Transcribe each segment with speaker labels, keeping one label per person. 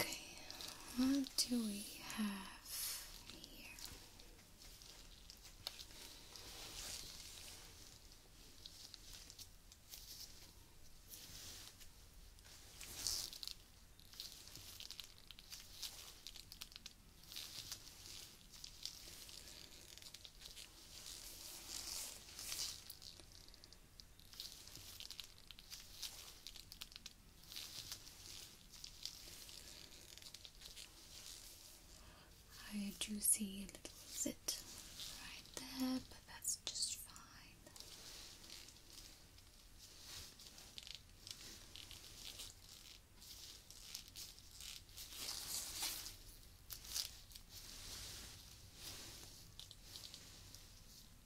Speaker 1: Okay, what do we have here? I do see a little zit right there, but that's just fine.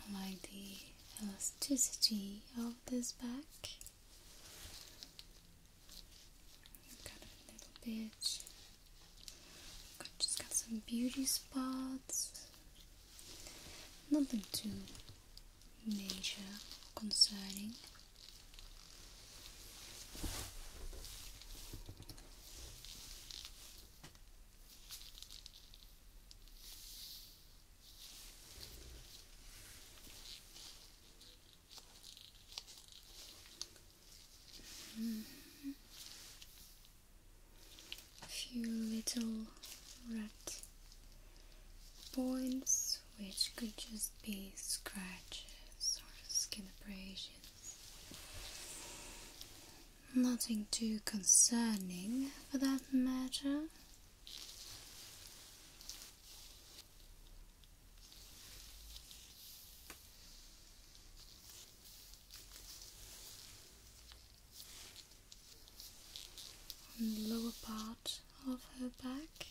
Speaker 1: I like the elasticity of this back. Got a little bit. just got some beauty spots. Nothing too major concerning. A few little red points, which could just be scratches or skin abrasions. Nothing too concerning for that matter. On the lower part of her back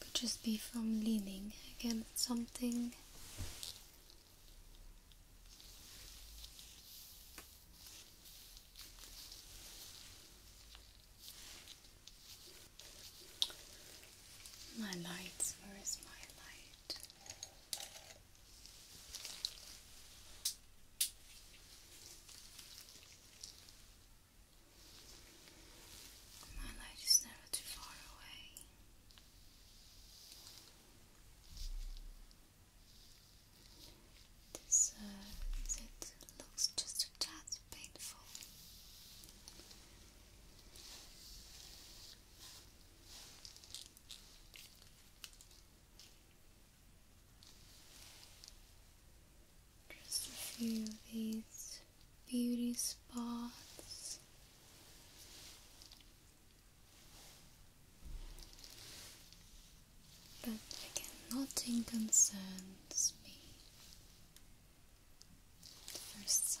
Speaker 1: could just be from leaning against something. My lights, where is my light? My light is never too far away. This uh, looks just a tad painful. Just a few of these beauty spots. But again, nothing concerns me at first sight.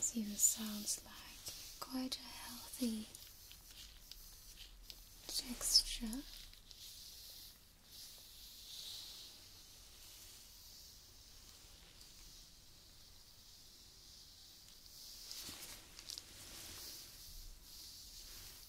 Speaker 1: See, this sounds like quite a healthy texture.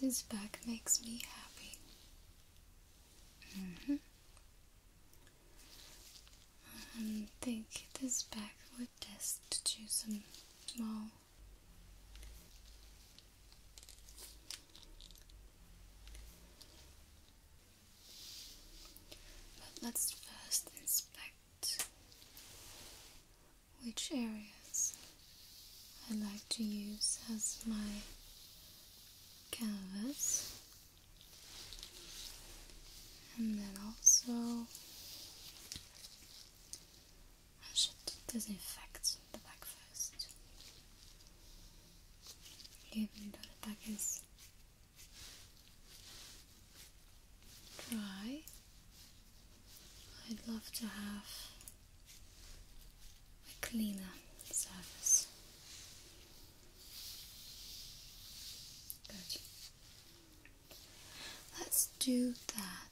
Speaker 1: This bag makes me happy. I mm-hmm. um, think this bag would just do some small but let's first inspect which areas I like to use as my canvas and then also I should disinfect the back first even though the back is dry I'd love to have a cleaner surface. Good. Let's do that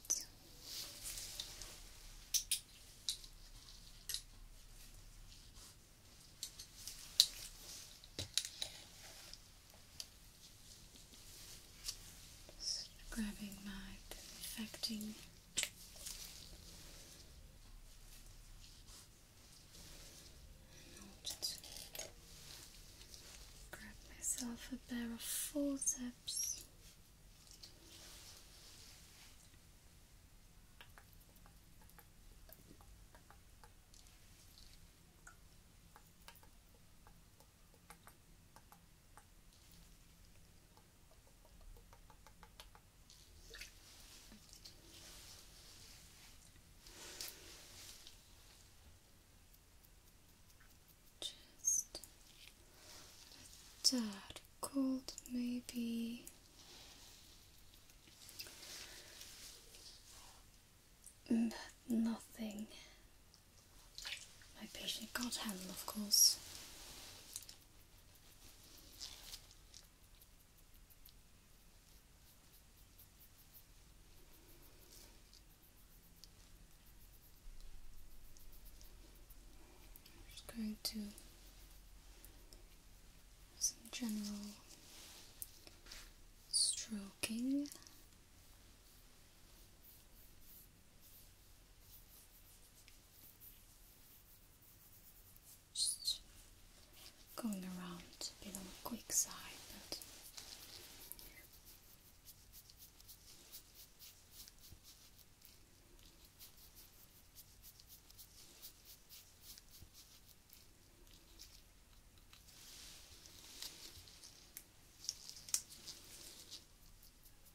Speaker 1: grabbing my perfecting and I'll just grab myself a pair of forceps just a cold, maybe. nothing my patient can't handle, of course. I'm just going to some general stroking. Just going around a bit on the quick side, but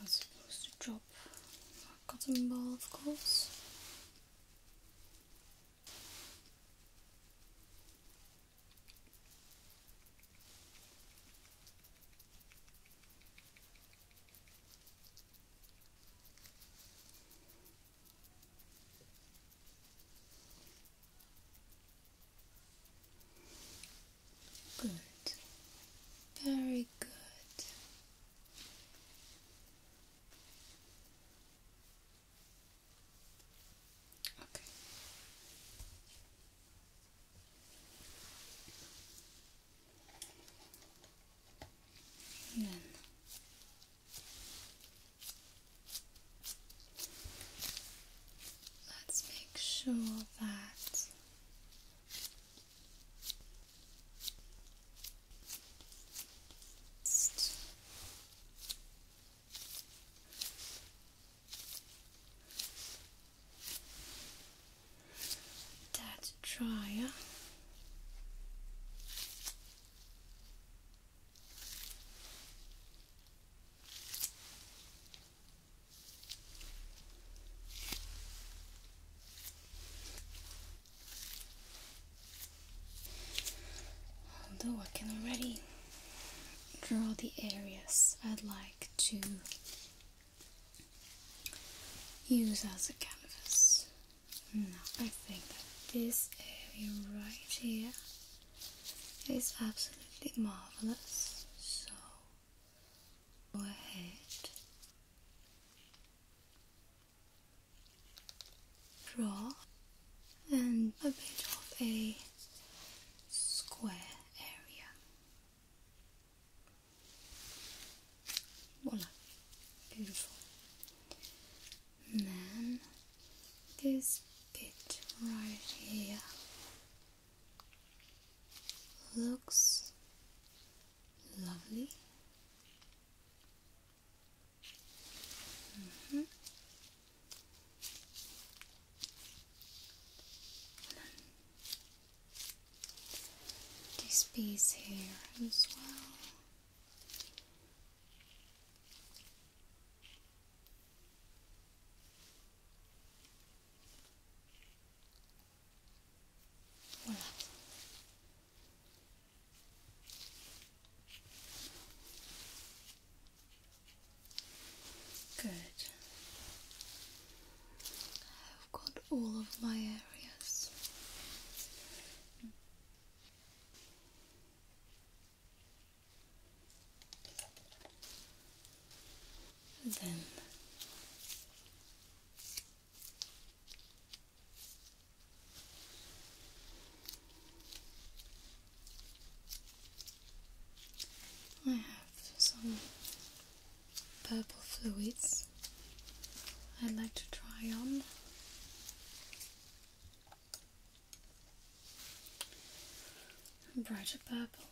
Speaker 1: I'm supposed to drop a cotton ball, of course. Good. Very good. Okay. And let's make sure that that's dryer. Although I can already draw the areas I'd like to use as a canvas. Now I think this area right here is absolutely marvelous. So Go ahead. draw and a bit of a square area. Voila, beautiful. And then this bit right here looks lovely. -hmm. This piece here as well. Good. I've got all of my areas then I have some purple fluids I'd like to try on. Brighter purple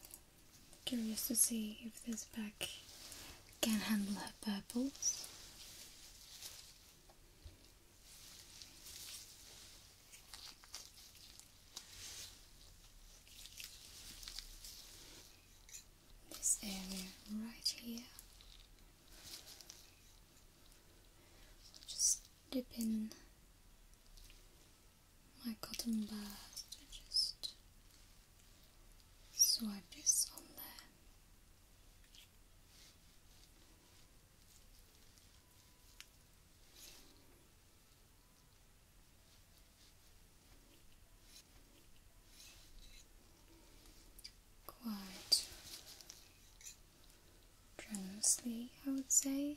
Speaker 1: Curious to see if this pack can handle her purples. This area right here. Just dip in my cotton bud just swipe this on there. Quite generously, I would say.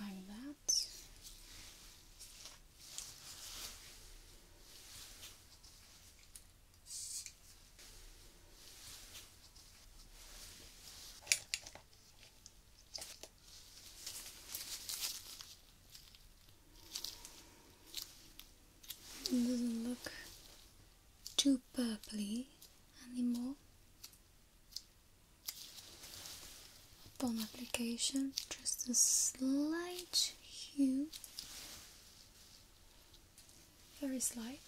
Speaker 1: like that. It doesn't look too purpley anymore. Upon application, just a slight hue, very slight.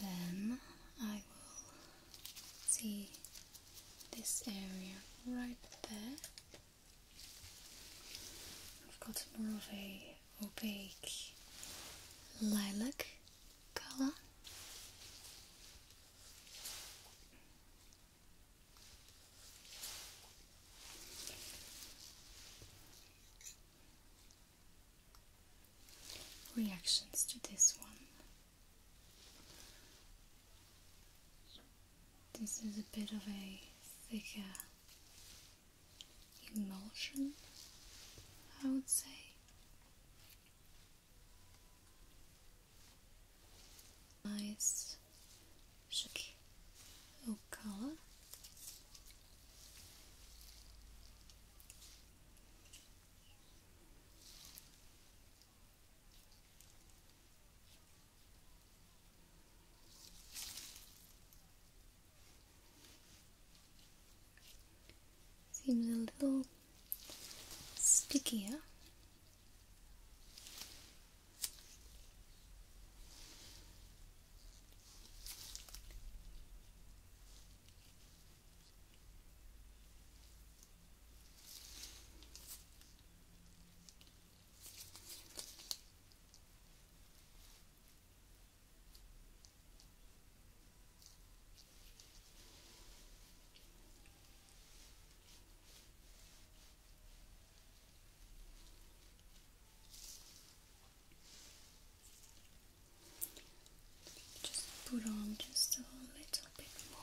Speaker 1: Then I will see this area right there. I've got more of a opaque lilac color. Reactions to this one. This is a bit of a thicker Emulsion, I would say. Nice shake color. Seems a little stickier. Just put on just a little bit more.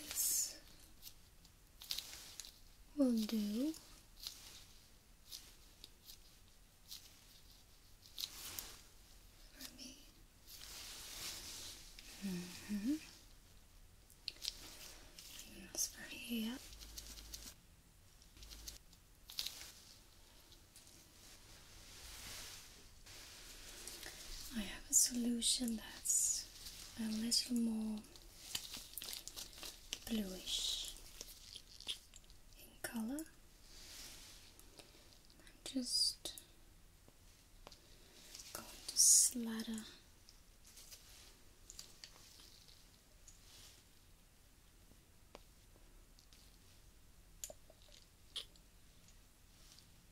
Speaker 1: This will do. For me. hmm. That's for here. I have a solution that's a little more bluish in color. I'm just going to slather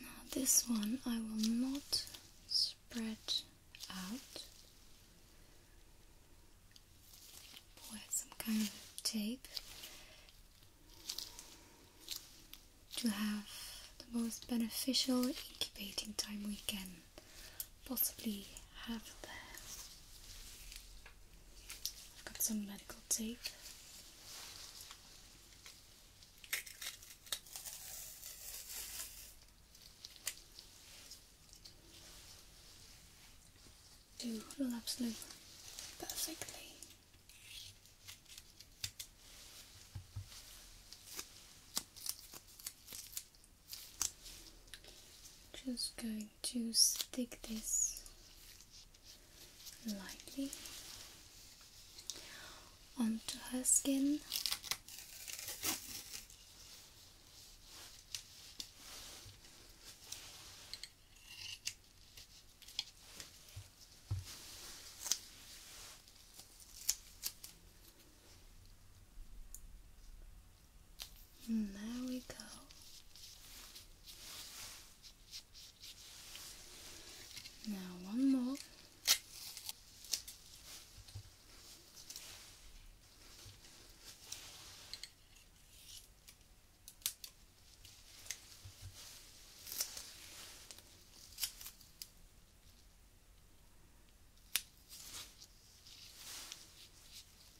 Speaker 1: Now this one I will not spread out. Or some kind of tape to have the most beneficial incubating time we can possibly have there. I've got some medical tape. Do will absolutely perfectly. Just going to stick this lightly onto her skin. And there we go. Now one more.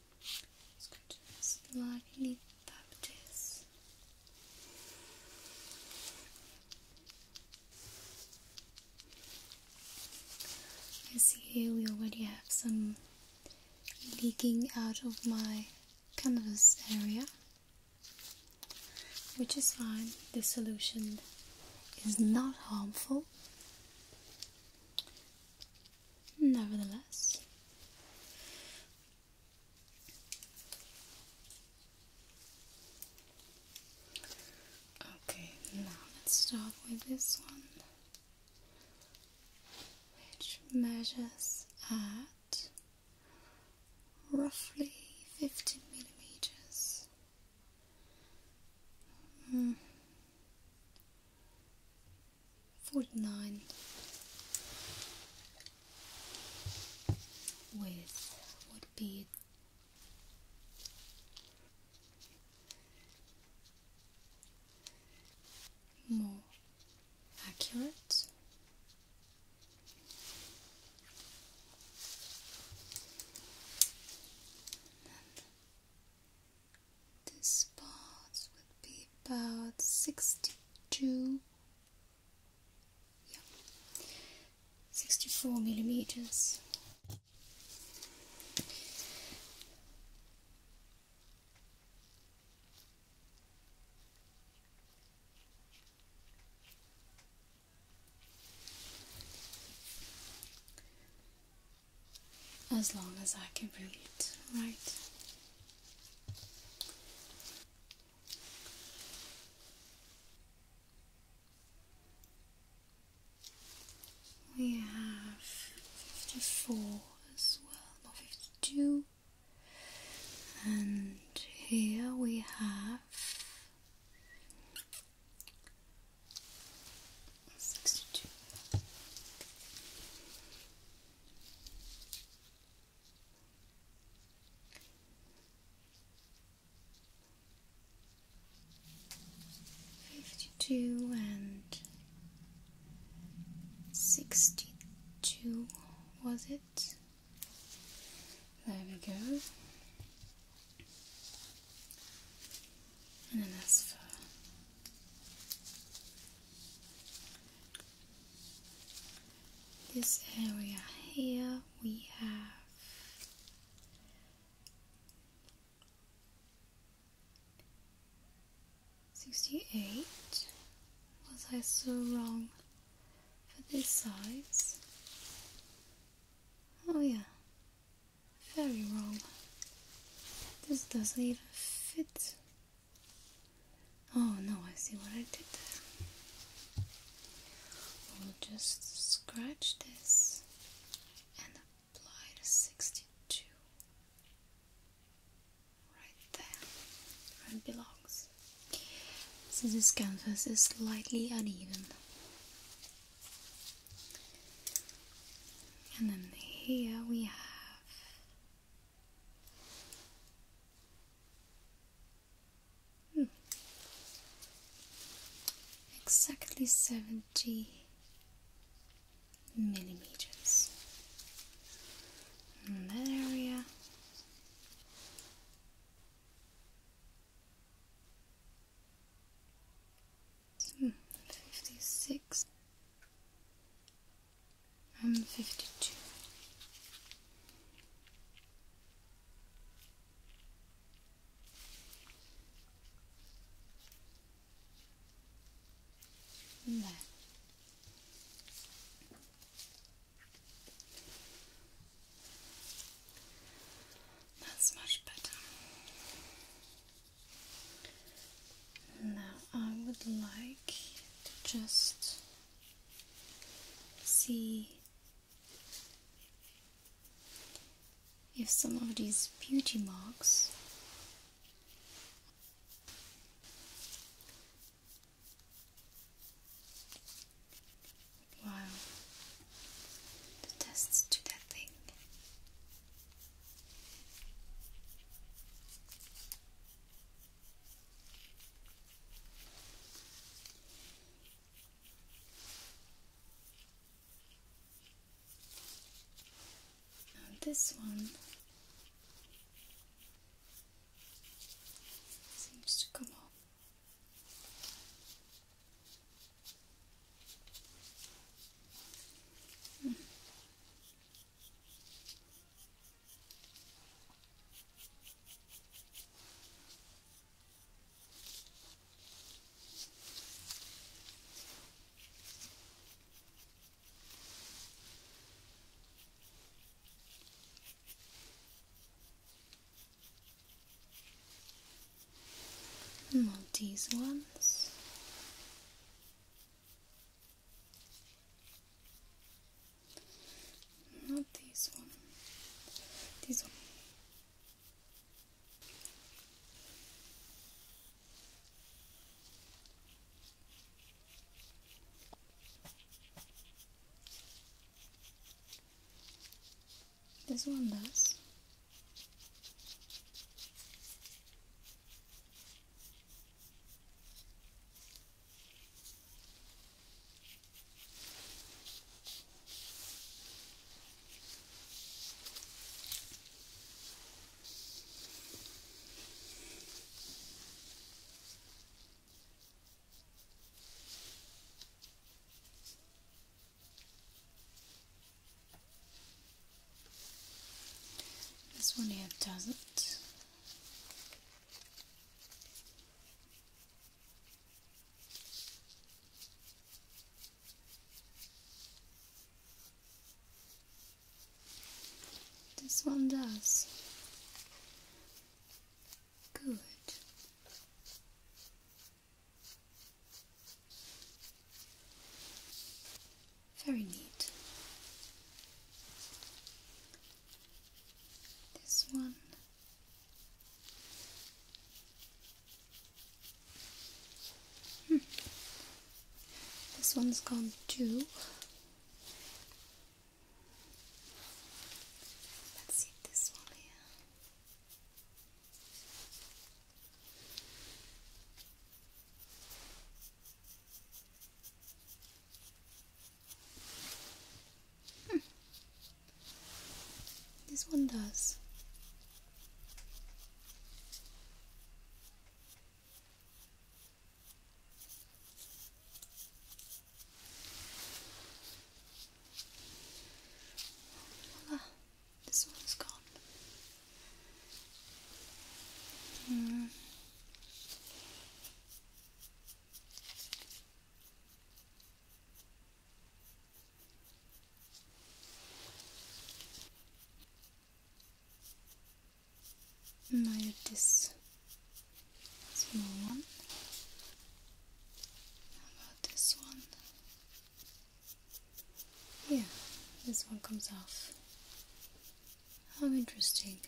Speaker 1: let Escuchas la habilidad es I see here we already have some leaking out of my canvas area, which is fine. The solution is not harmful. Nevertheless, Okay, now let's start with this one, which measures at roughly 50 millimeters. Hmm. 49 with what bead more accurate this part would be about 62 yeah. 64 millimeters. as long as I can read it, right? We have 54 as well, not 52. And here we have 62. Fifty-two and sixty-two, was it? There we go. And then that's for this area here we have sixty eight. Was I so wrong for this size? Oh yeah. Very wrong. This doesn't even fit Oh no, I see what I did there. We'll just scratch this and apply the 62 right there where it belongs. Since this canvas is slightly uneven. And then here we have Hmm. Exactly 70 millimeters in that area. Hmm, 56 I'm fifty two. There. That's much better. Now I would like to just see if some of these beauty marks Wow, the tests to that thing. Now this one seems to come off. Hmm. And these ones. Not this one. This one. This one does. This one here doesn't. This one does. Good. Very neat this one. Hmm. This one's called Jew. Let's see this one here. Hmm. This one does. this one's gone. Mm. And this small one. How about this one? Yeah, this one comes off. How interesting.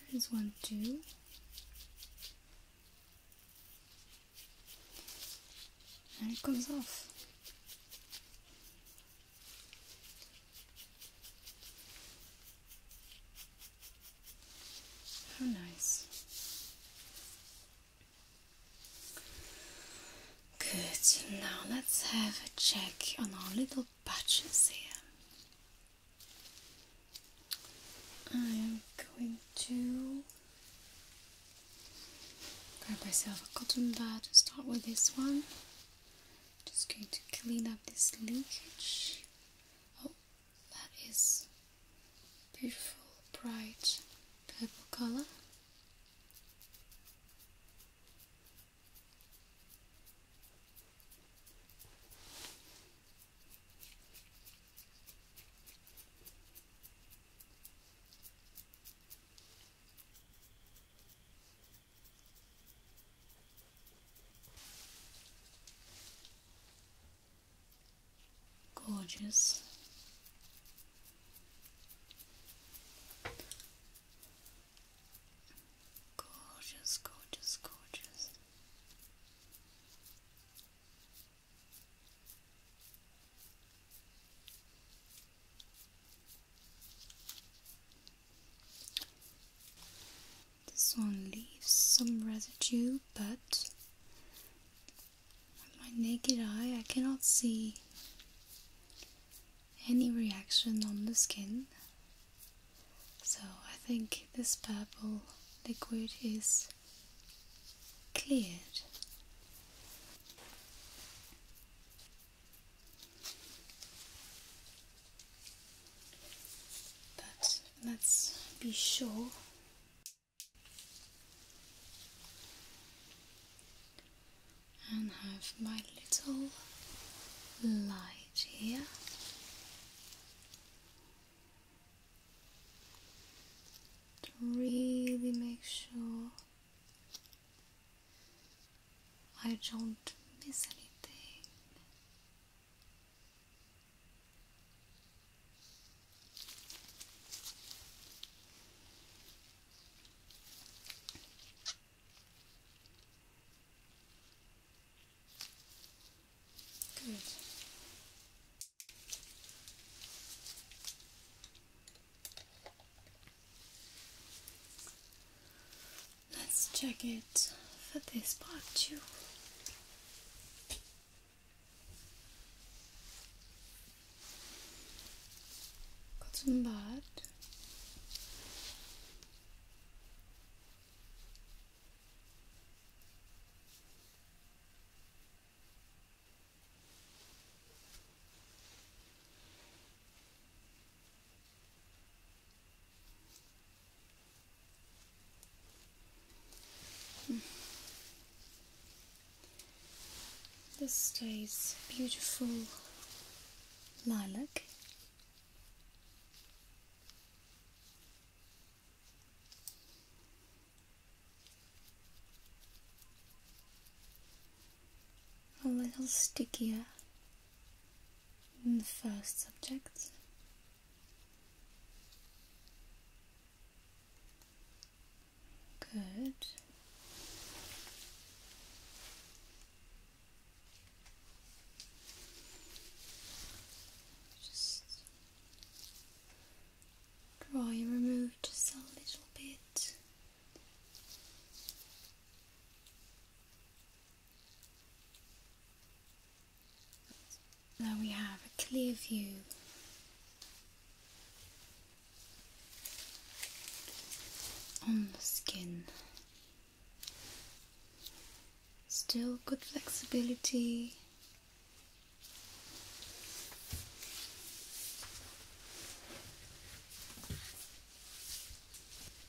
Speaker 1: There is one too. And it comes off. How nice. Good. Now let's have a check on our little batches here. I am going to grab myself a cotton bud to start with this one. Just going to clean up this leakage. Oh, that is beautiful, bright purple color. Gorgeous. Gorgeous, gorgeous, gorgeous. This one leaves some residue, but with my naked eye I cannot see any reaction on the skin. So I think this purple liquid is cleared let's be sure. And have my little light here. To really make sure I don't miss anything. Good. Let's check it for this part too. Got some bud. This stays beautiful lilac. A little stickier in the first subject. Good. Just draw your remove just a little bit. Now we have a clear view on the skin. Still good flexibility.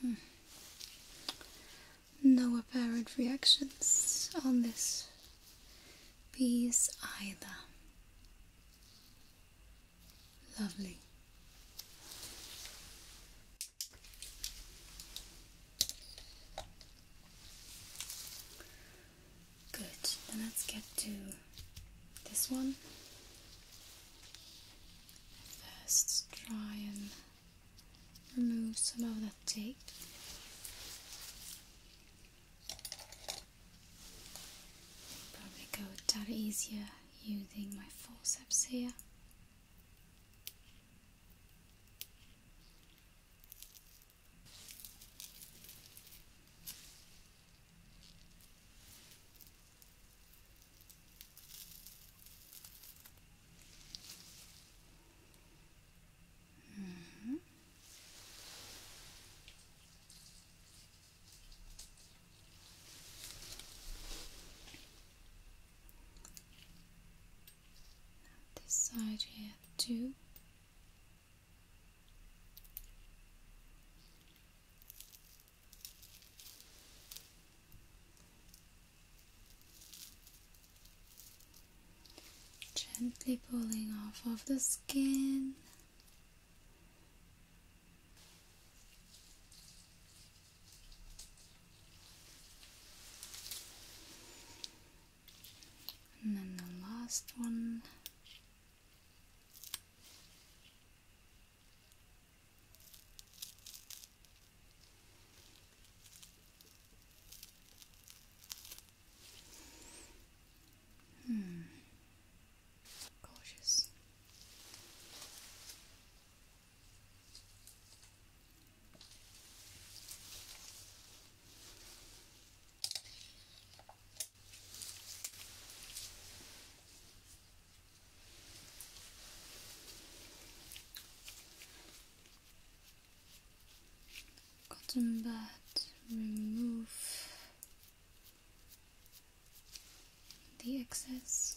Speaker 1: Hmm. No apparent reactions on this piece either. Lovely. Good, let's get to this one. First, try and remove some of that tape. Probably go a tad easier using my forceps here. -hmm. This side here too. Gently pulling off of the skin. And then the last one. Hmm. Gorgeous. Cotton bud, remove the excess.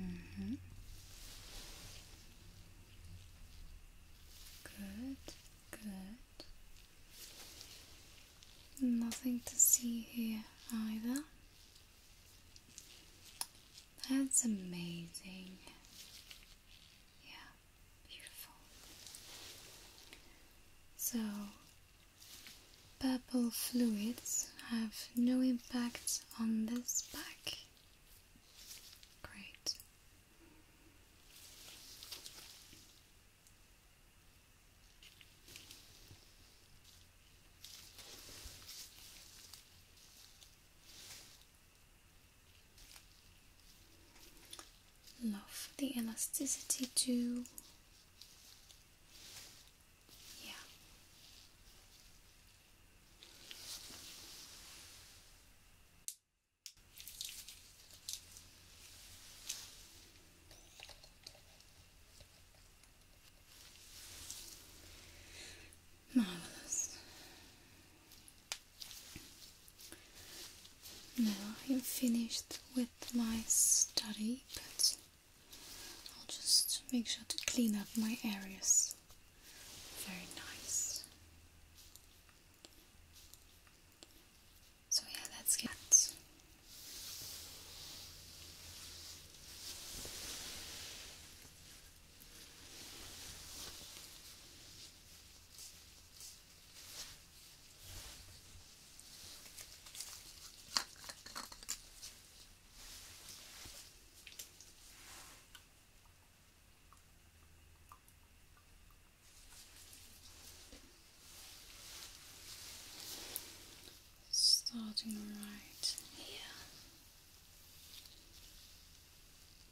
Speaker 1: Mm-hmm. Good, good. Nothing to see here either. That's amazing. Yeah, beautiful. So, purple fluids have no impact on this back. Great. Love the elasticity too. Yeah. Marvelous. Now I am finished with my study, but I'll just make sure to clean up my areas. Very nice. So, yeah, let's get. Starting right here.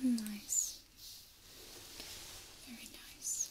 Speaker 1: Nice. Very nice.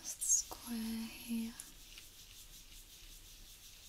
Speaker 1: Last square here.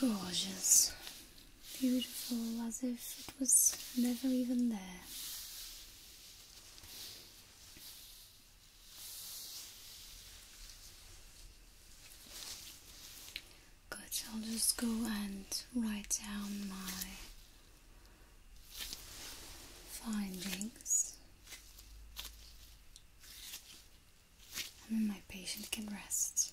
Speaker 1: Gorgeous. Beautiful as if it was never even there. Good, I'll just go and write down my findings. And then my patient can rest.